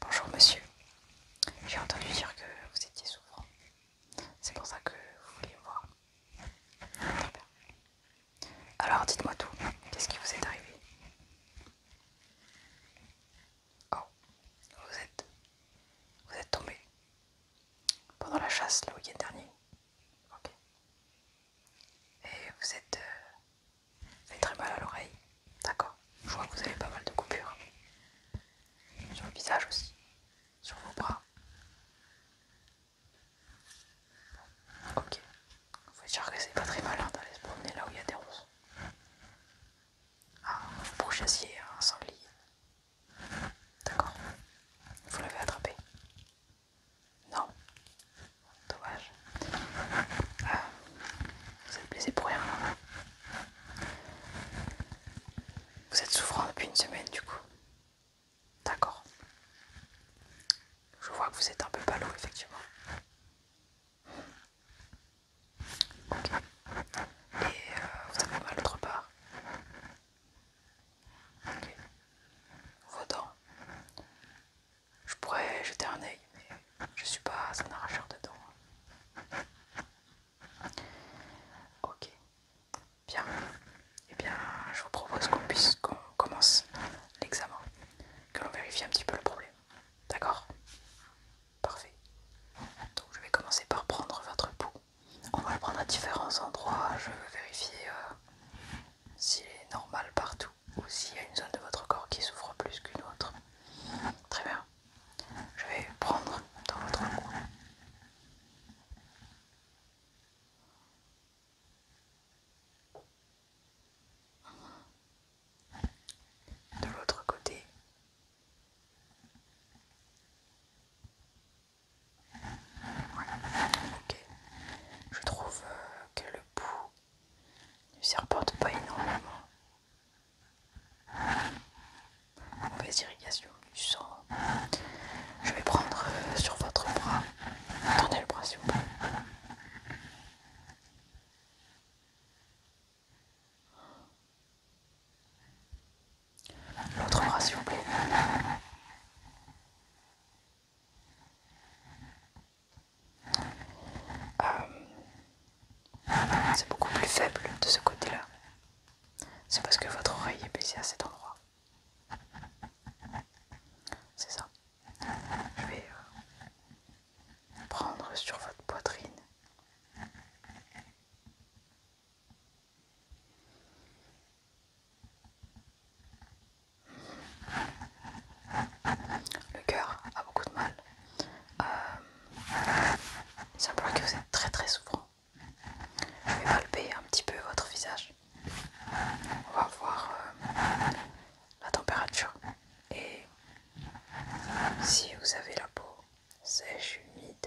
Bonjour monsieur, j'ai entendu dire que vous étiez souffrant. C'est pour ça que vous voulez me voir. Alors dites-moi tout, qu'est-ce qui vous est arrivé Oh, vous êtes... Vous êtes tombé pendant la chasse le week-end dernier. Ok. Et vous êtes... Euh, très mal à l'oreille. D'accord. Je vois que vous avez pas mal de coupures. Sur le visage aussi. Sur vos bras. Ok, Vous Faut dire que c'est pas très mal d'aller se promener là où il y a des roses. Ah, un pourchassier, un sanglier. D'accord. Vous l'avez attrapé. Non. Dommage. Ah. vous êtes blessé pour rien. Vous êtes souffrant depuis une semaine du coup. D'accord. Je vois que vous êtes un peu ballot, effectivement. Ok. Et euh, vous avez mal autre part. Ok. dents. Je pourrais jeter un œil, mais je suis pas un arracheur de dents. Hein. Ok. Bien. Eh bien, je vous propose qu'on puisse qu'on commence l'examen. Que l'on vérifie un petit peu le problème. D'accord Parfait. Donc je vais commencer par prendre votre peau. On va le prendre à différents endroits. Je vais vérifier euh, s'il est normal partout ou s'il y a une zone de votre corps qui souffre plus qu'une autre. Très bien. Je vais prendre dans votre cou. De l'autre côté. Ok, Je trouve euh, que le bout ne s'y pas énormément. Mauvaise irrigation du sang. Je vais prendre euh, sur votre bras. Attendez le bras s'il vous plaît. L'autre bras s'il vous plaît. Euh, c'est beaucoup plus faible de ce côté-là. C'est parce que votre oreille est baissée à cet endroit. C'est ça. Je vais euh, prendre sur votre poitrine. Le cœur a beaucoup de mal. Euh, ça c'est que vous êtes très très souffrant. Je vais palper un petit peu votre visage. On va voir euh, la température et si vous avez la peau sèche, humide.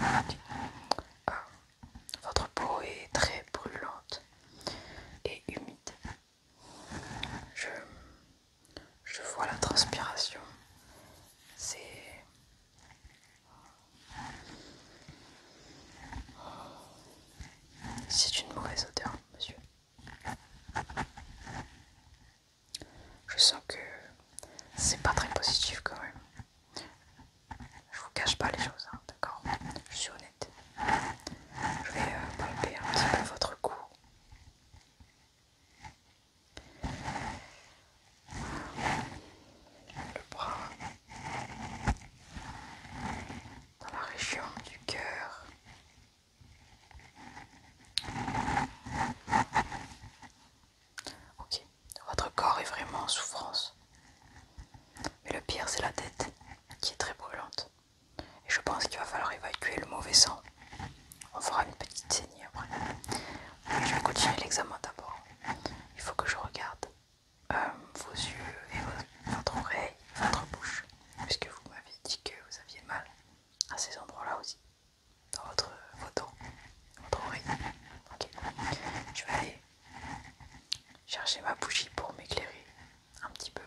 Euh, votre peau est très brûlante et humide. Je, je vois la transpiration. C'est... C'est une mauvaise odeur, monsieur. Je sens que c'est pas très positif quand même. Je vous cache pas les choses, hein, d'accord Je suis honnête. Je vais euh, palper un petit peu votre cou. Le bras. Dans la région du cœur. Ok, votre corps est vraiment en souffrance. Mais le pire, c'est la tête, qui est très brûlante. Et je pense qu'il va falloir évacuer le mauvais sang. On fera une petite saignée après. je vais continuer l'examen d'abord. Il faut que je regarde euh, vos yeux et votre oreille, votre bouche, puisque vous m'avez dit que vous aviez mal à ces endroits-là aussi, dans votre photo. Je vais aller chercher ma bougie pour m'éclairer un petit peu mieux.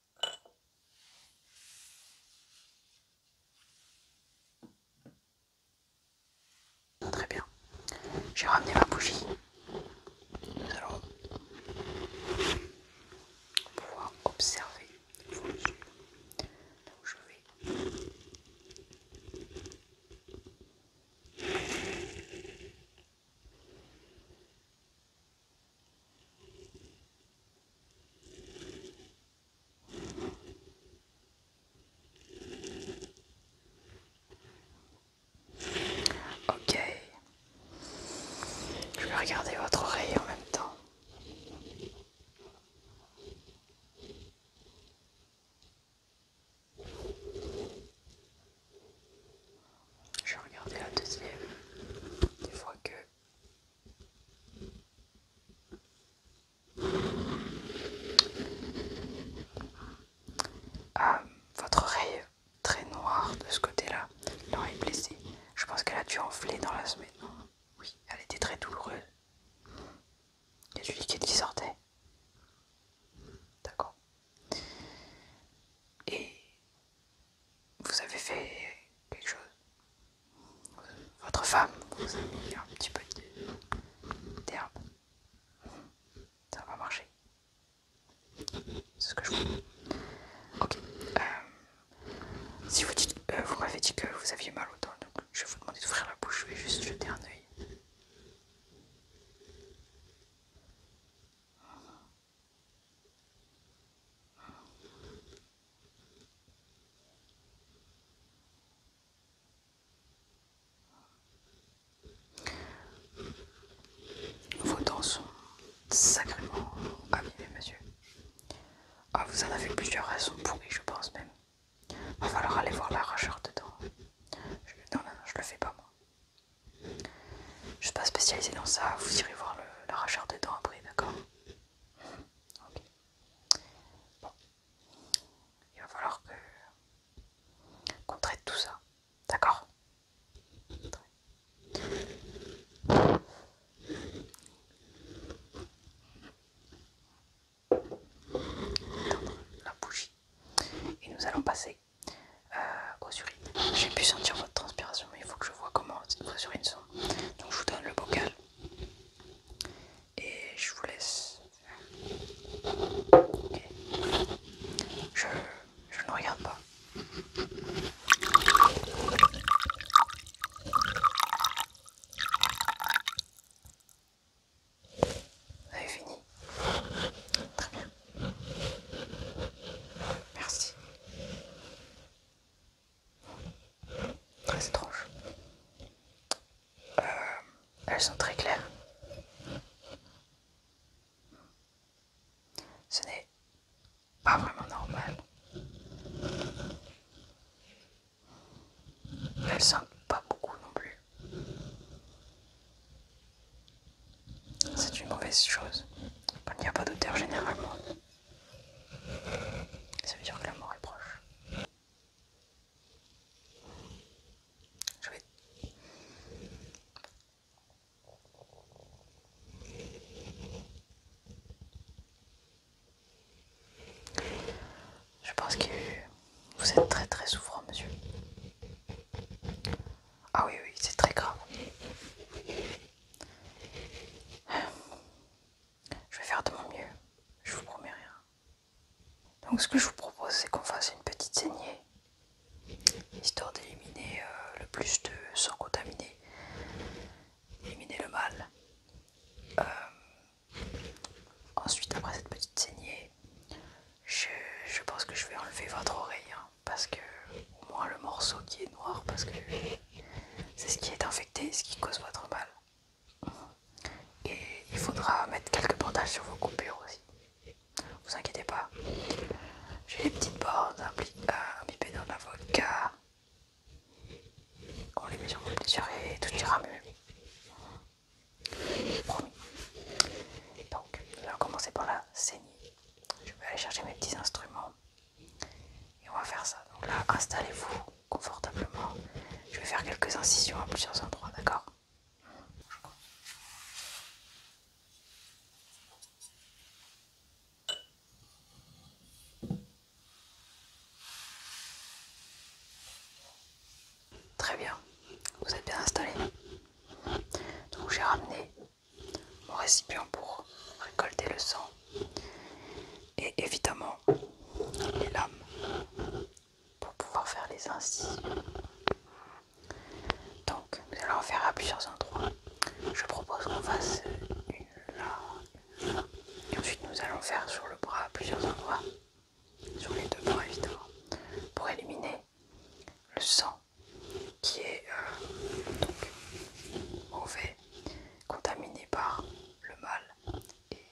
Très bien. J'ai ramené ma bougie. Nous allons pouvoir observer vos Ok. Je vais regarder votre oreille en même temps. Je vais regarder la deuxième. Des fois que euh, votre oreille très noire de ce côté-là, l'oreille blessée. Je pense qu'elle a dû enfler dans la semaine. Oui, elle était très douloureuse. Il y a du liquide qui sortait. D'accord. Et vous avez fait quelque chose. Votre femme vous a mis un petit peu d'herbe. Ça va marcher. C'est ce que je dis. Ok. Euh, si vous euh, vous m'avez dit que vous aviez mal au temps, donc je vais vous demander d'ouvrir la bouche. Je vais juste jeter un œil. Vos dents sont sacrément abîmées, monsieur. Ah, vous en avez plusieurs raisons pourries, je pense même. Va falloir aller voir l'arracheur de dents. non, non, non, je le fais pas moi. Je suis pas spécialisé dans ça, vous irez voir l'arracheur de dents après, d'accord Bon. Il va falloir que qu'on traite tout ça. D'accord la bougie et nous allons passer aux urines. J'ai pu sentir votre transpiration mais il faut que je vois comment vos urines donc je vous donne le bocal et je vous laisse. Je, je ne regarde pas. Vous avez fini Très bien. Merci. Ah, très étrange. Euh, elles sont très claires. Ce n'est pas vraiment normal. Elles sentent pas beaucoup non plus. C'est une mauvaise chose. Il n'y a pas d'odeur généralement. Ça veut dire que la mort est proche. Je Je pense que vous êtes très très souffrant, monsieur. Ah oui, oui, c'est très grave. Je vais faire de mon mieux, je vous promets rien. Donc ce que je vous propose, c'est qu'on fasse une petite saignée, histoire d'éliminer euh, le plus de sang contaminé, éliminer le mal. Euh, ensuite, après cette petite saignée, je, pense que je vais enlever votre oreille, hein, parce que au moins le morceau qui est noir, parce que c'est ce qui est infecté ce qui cause votre mal. Et il faudra mettre quelques bandages sur vos coupures aussi. Vous inquiétez pas. J'ai les petites bornes, un dans l'avocat On les met sur les blessures et tout ira mieux. Promis. Donc, on va commencer par la saignée. Je vais aller chercher mes petits instruments. Et on va faire ça. Donc là, installez-vous confortablement. Je vais faire quelques incisions à plusieurs endroits, d'accord Très bien, vous êtes bien installé. Donc j'ai ramené mon récipient pour récolter le sang et évidemment, les lames pour pouvoir faire les incisions. Donc, nous allons en faire à plusieurs endroits. Je propose qu'on fasse une là, Et ensuite, nous allons faire sur le bras à plusieurs endroits. Sur les deux bras, évidemment. Pour éliminer le sang qui est euh, donc, mauvais Contaminé par le mal. Et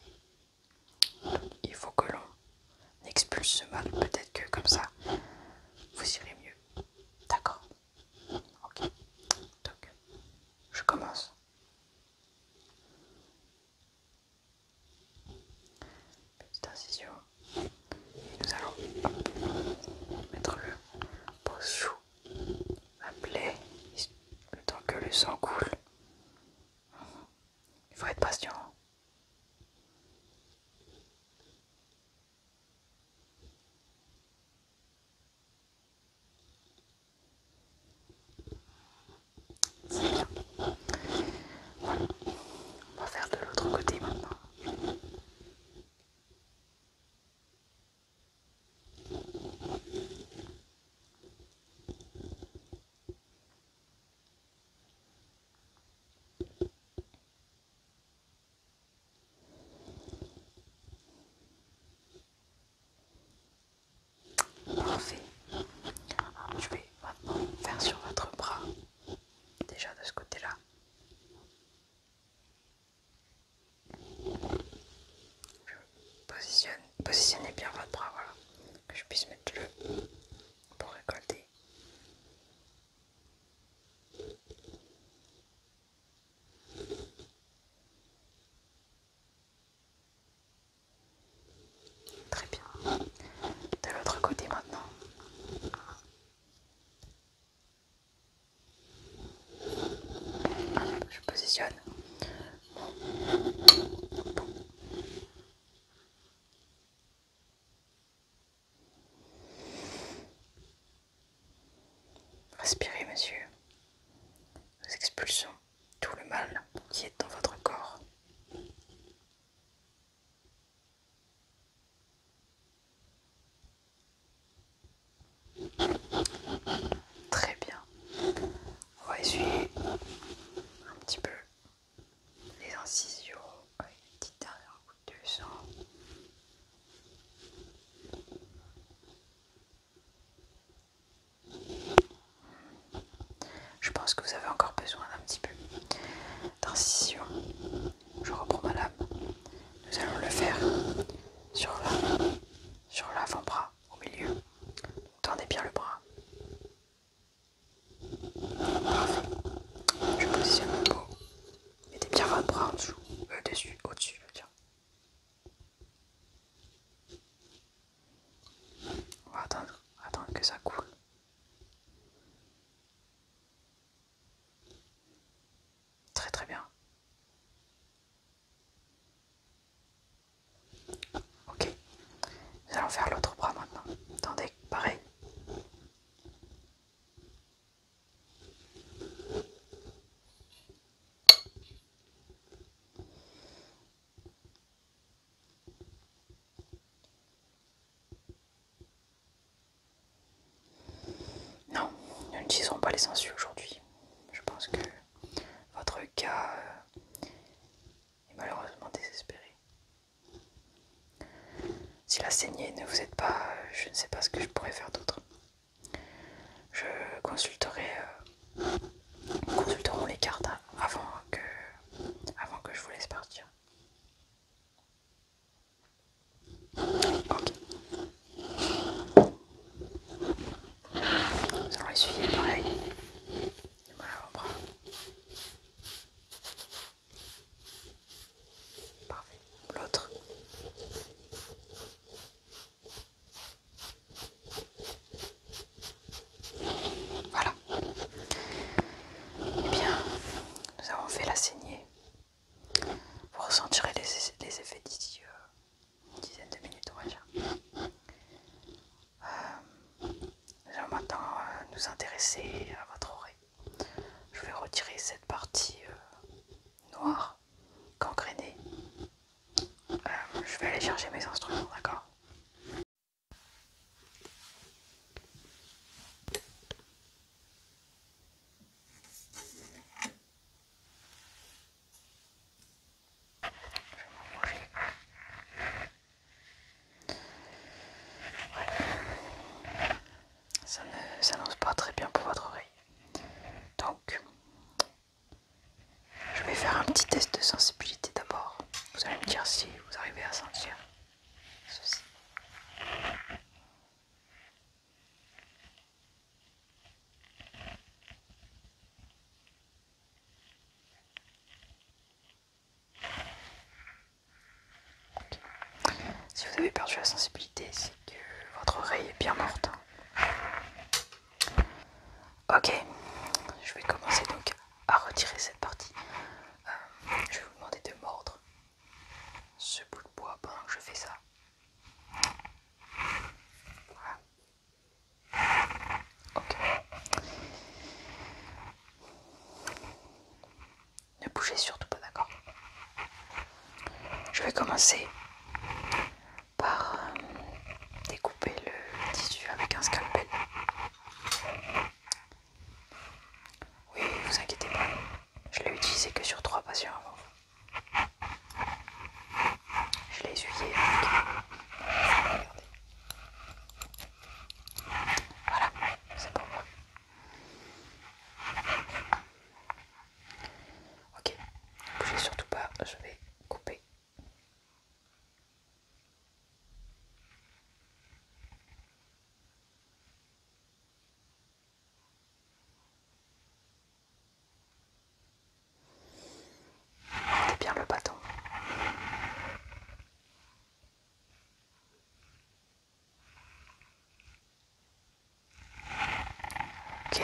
il faut que l'on expulse ce mal. Peut-être que comme ça, vous irez mieux. D'accord Ok. Donc, je commence. Petite incision. Et nous allons mettre le pot la plaie, temps que le sang coule. Il faut être patient. On va faire de l'autre côté maintenant. Je vais maintenant faire sur votre bras, déjà de ce côté-là positionnez bien votre bras, voilà, que je puisse mettre le pour récolter. Très bien. De l'autre côté maintenant. Je positionne Respirez, monsieur. Nous expulsons tout le mal qui est dans votre corps. Très bien. On va essuyer un petit peu les incisions avec une petite dernière goutte de sang. Je pense que vous avez encore besoin d'un petit peu d'incision. Je reprends ma lame. Nous allons le faire sur la sur l'avant-bras, au milieu. Tendez bien le bras. Parfait. Je positionne mon et Mettez bien votre bras en euh, dessus, au-dessus, On va attendre, attendre que ça coule. Très très bien. Ok, nous allons faire l'autre bras maintenant. Attendez, pareil. Non, nous n'utiliserons pas les aujourd'hui je pense que votre cas euh, est malheureusement désespéré. Si la saignée ne vous aide pas, je ne sais pas ce que je pourrais faire d'autre. Je consulterai, Nous euh, consulterons les cartes avant que, avant que je vous laisse partir. Ok. Nous allons essuyer pareil. Voilà, on Parfait. L'autre. Voilà. Eh bien, nous avons fait la saignée. Vous ressentirez les, les effets d'ici euh, une dizaine de minutes, on va dire. Euh, maintenant euh, nous intéresser à votre oreille. Je vais retirer cette partie euh, noire, gangrénée. je vais aller chercher mes instruments, d'accord ça ne s'annonce pas très bien pour votre oreille. Donc, je vais faire un petit test de sensibilité d'abord. Vous allez me dire si vous arrivez à sentir ceci. Si vous avez perdu la sensibilité, c'est que votre oreille est bien morte. Ok, je vais commencer donc à retirer cette partie. Euh, je vais vous demander de mordre ce bout de bois pendant que je fais ça. Ne bougez surtout pas, d'accord Je vais commencer par euh, découper le tissu avec un scalpel. Oui, vous inquiétez pas, je l'ai utilisé que sur trois patients avant. Je l'ai essuyé. Voilà, c'est pour moi. Ok, bougez surtout pas, je vais couper bien le bâton. Ok.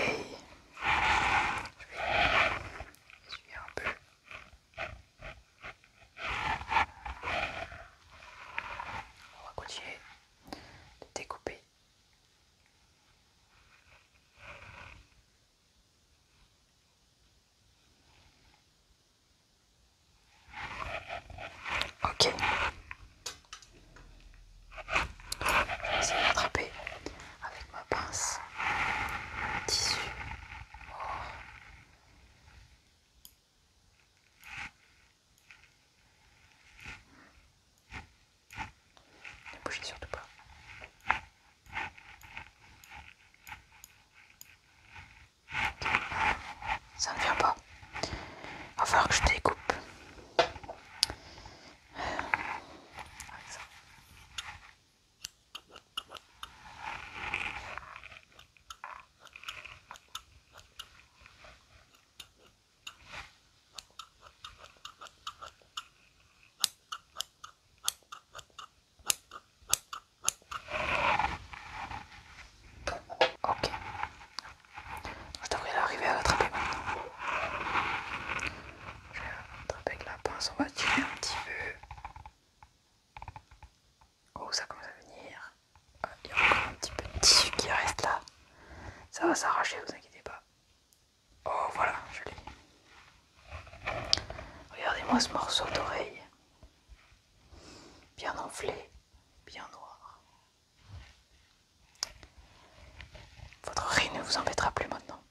Je vais un peu. On va continuer de découper. Ok. Je vais essayer d'attraper avec ma pince le tissu. Ne bougez surtout pas. Ça ne vient pas. On va falloir que je découpe. Ok. Je devrais arriver à l'attraper maintenant. Je vais l'attraper avec la pince, on va tirer un petit peu. Oh, ça commence à venir. Ah, il y a encore un petit peu de tissu qui reste là. Ça va s'arracher, ne vous inquiétez pas. Oh voilà, je l'ai. Regardez-moi ce morceau d'oreille. Bien enflé, bien noir. Votre riz ne vous embêtera plus maintenant.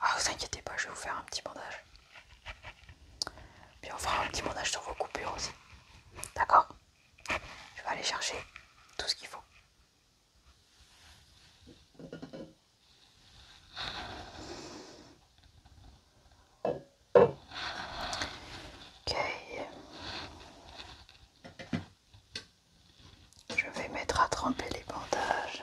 Ah, vous inquiétez pas, je vais vous faire un petit bandage. Puis on fera un petit montage sur vos coupures aussi. D'accord Je vais aller chercher tout ce qu'il faut. Ok. Je vais mettre à tremper les bandages.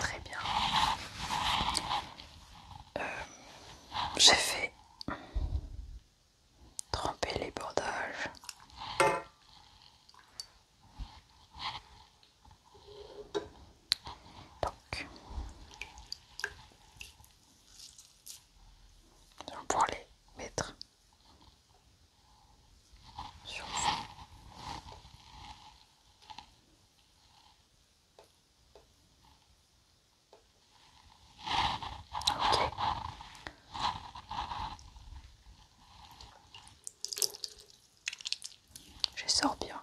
Très bien. Euh, j'ai fait tremper les bordages. Nous allons pouvoir les mettre sur le fond. Ok. Je sors bien.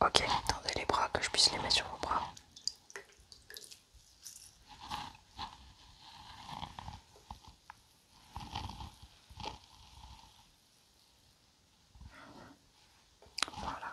Ok, tendez les bras que je puisse les mettre sur vos bras. Voilà.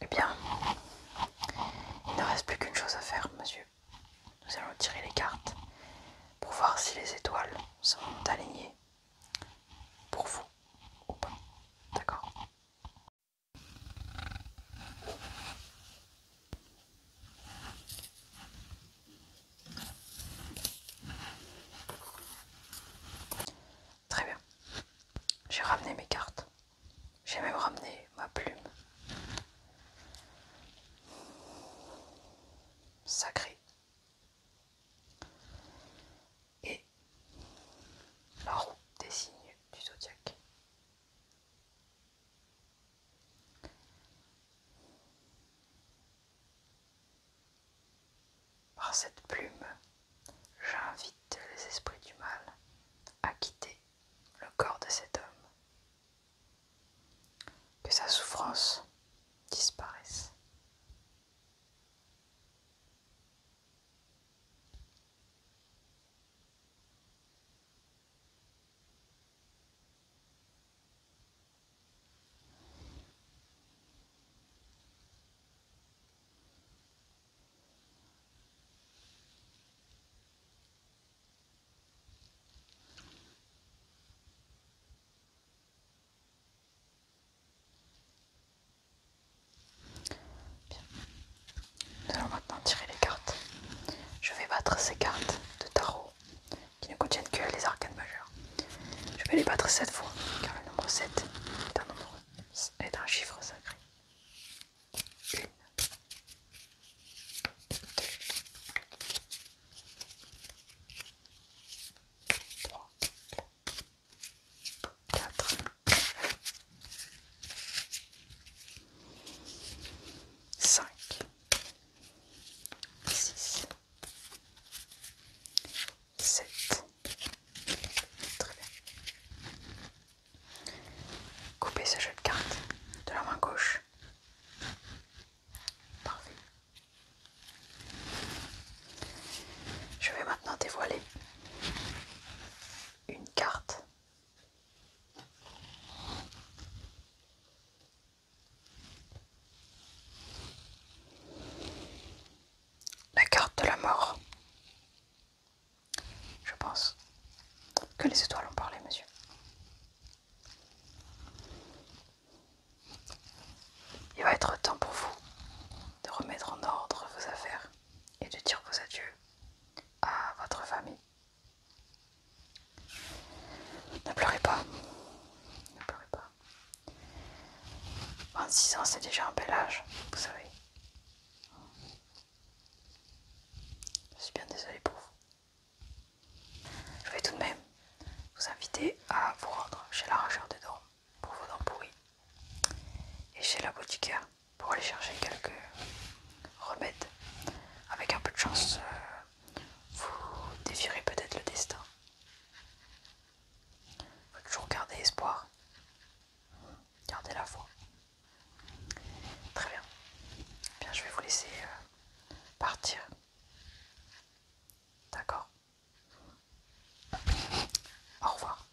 Eh bien, il ne reste plus qu'une chose à faire, monsieur. Nous allons tirer les cartes pour voir si les étoiles sont alignées pour vous ou pas. D'accord Très bien. J'ai ramené mes cartes. J'ai même ramené ma plume. sacrée Et la roue des signes du zodiaque. Par cette plume, J'invite les esprits du mal à quitter le corps de cet homme. Que sa souffrance disparaisse. Bien. Nous allons maintenant tirer les cartes. Je vais battre ces cartes de tarot qui ne contiennent que les arcanes majeures. Je vais les battre 7 fois car le nombre 7 un, est un chiffre sacré une, Cinq, Couper ce jeu de cartes de la main gauche. Parfait. Je vais maintenant dévoiler une carte la carte de la mort je pense que les étoiles ont parlé, monsieur. Il va être temps pour vous de remettre en ordre vos affaires et de dire vos adieux à votre famille. Ne pleurez pas. Ne pleurez pas. 26 ans, c'est déjà un bel âge, vous savez. Je suis bien désolée pour vous. Je vais tout de même vous inviter à vous rendre chez l'arracheur de dents pour vos dents pourries et chez la boutiqueur pour aller chercher quelques remèdes. Avec un peu de chance, euh, vous défirez peut-être le destin. Il faut toujours garder espoir, garder la foi. Très bien. Bien, je vais vous laisser euh, partir. D'accord. Au revoir.